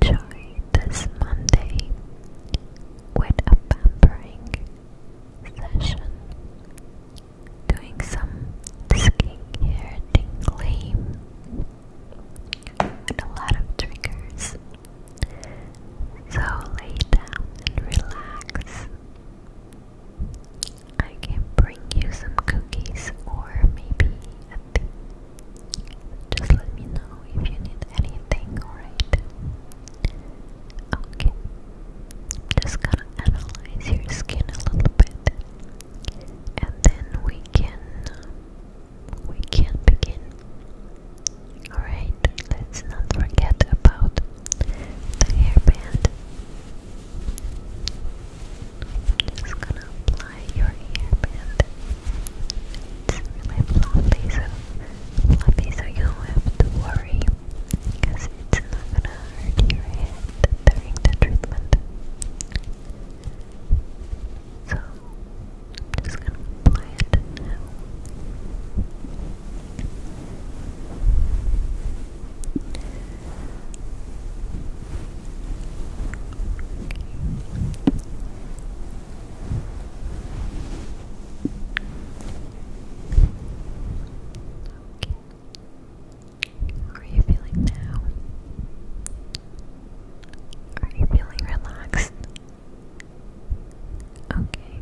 Let's enjoy this Monday with a pampering session, doing some skincare tingly with a lot of triggers. So lay down and relax. I can bring you some cookies or maybe a tea. Just let me know if you need anything, alright? Okay. Just gonna analyze your skin a little bit. And then we can we can begin. Alright, let's not forget about the hairband. i just gonna apply your hairband it's really fluffy, so fluffy, so you don't have to worry because it's not gonna hurt your head during the treatment. So I'm just gonna apply it are you feeling now? Are you feeling relaxed? Okay.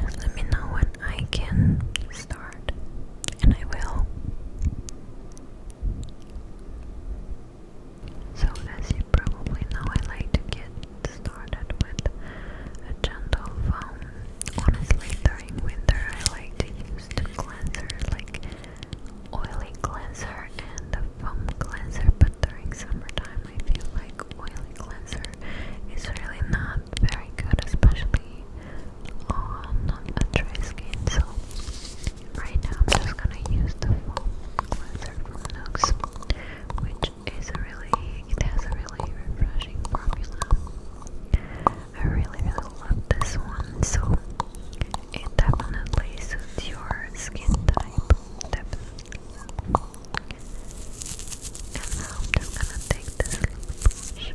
Just let me know when I can start, and I will. So, as you probably know, I like to get started with a gentle foam. Honestly, during winter, I like to use cleanser, like oily cleanser and a foam cleanser. But during summertime, I feel like oily cleanser is really not very good, especially on a dry skin. So Right now, I'm just gonna use the foam cleanser from NUX, which is a really, it has a really refreshing formula. I really, really love this one, so it definitely suits your skin type, And now I'm just gonna take this little brush.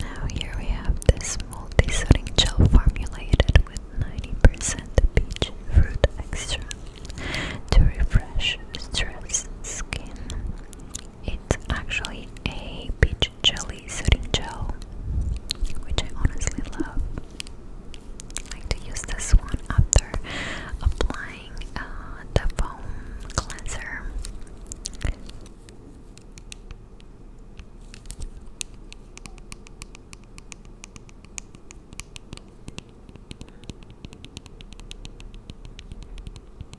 Now here we have this multi-sodium gel formulated with 90% peach fruit extract to refresh stressed skin. It's actually a peach jelly soothing gel, which I honestly love. like to use this one after applying uh, the foam cleanser.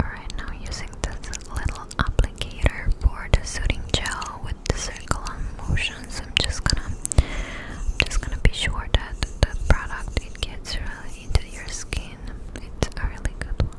Alright, now using this little applicator for the soothing gel with the circular motion options. I'm just gonna, just gonna be sure that the product it gets really into your skin. It's a really good one.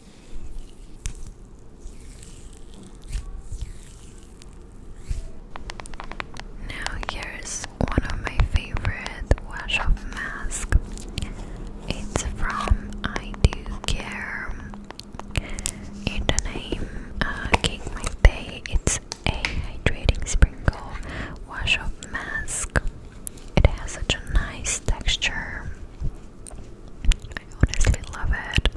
Now here's one of my favorite wash off masks. It's from I Do Care. In the name uh, Cake Day, it's a hydrating sprinkle wash off mask. It has such a nice texture. I honestly love it.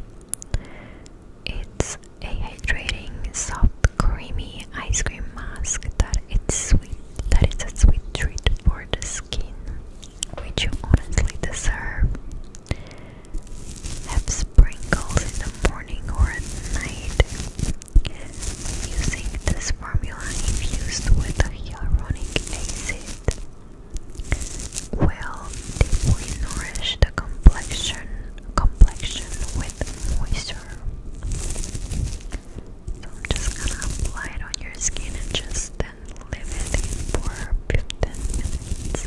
It's a hydrating, soft, creamy ice cream mask that is sweet that a sweet treat for the skin, which you honestly deserve. Have sprinkles in the morning or at night. Using this formula infused with hyaluronic acid will deeply nourish the complexion complexion with moisture. So I'm just gonna apply it on your skin and just then leave it in for 15 minutes.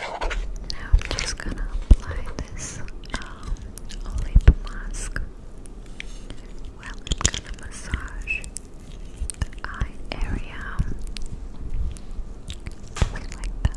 Now I'm just gonna apply this um, olive mask. Well, i gonna massage eye area. Just like that.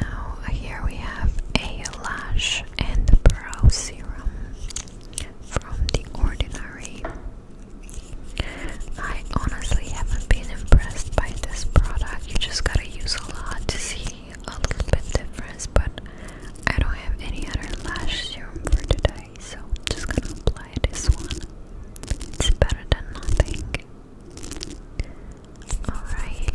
Now, here we have a lash and brow serum from The Ordinary. I honestly haven't been impressed by this product. You just gotta use a lot to see a little bit difference, but I don't have any other lash serum for today, so I'm just gonna apply this one. It's better than nothing. Alright.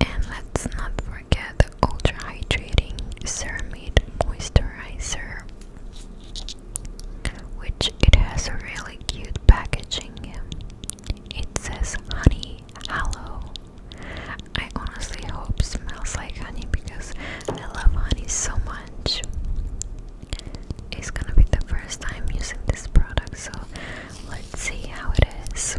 And let's not forget the ultra hydrating ceramide moisturizer which it has a really cute packaging. It says honey aloe. I honestly hope smells like honey because I love honey so much. It's gonna be the first time using this product, so let's see how it is.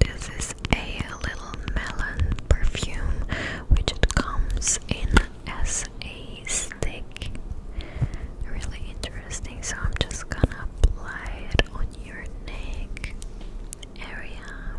This is a little melon perfume which comes in as a stick. Really interesting, so I'm just gonna apply it on your neck area.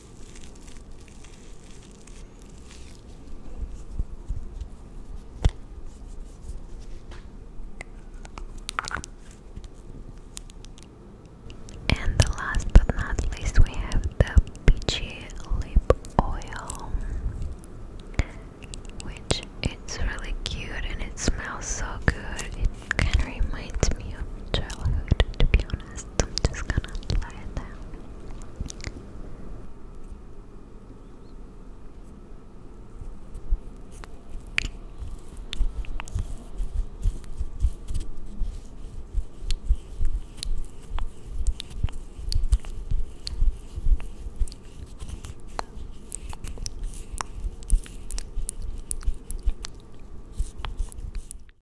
And the last but not least, we have the peachy lip oil, which it's really cute and it smells so good. It kind of reminds me of childhood, to be honest honest, I'm just gonna lay it down.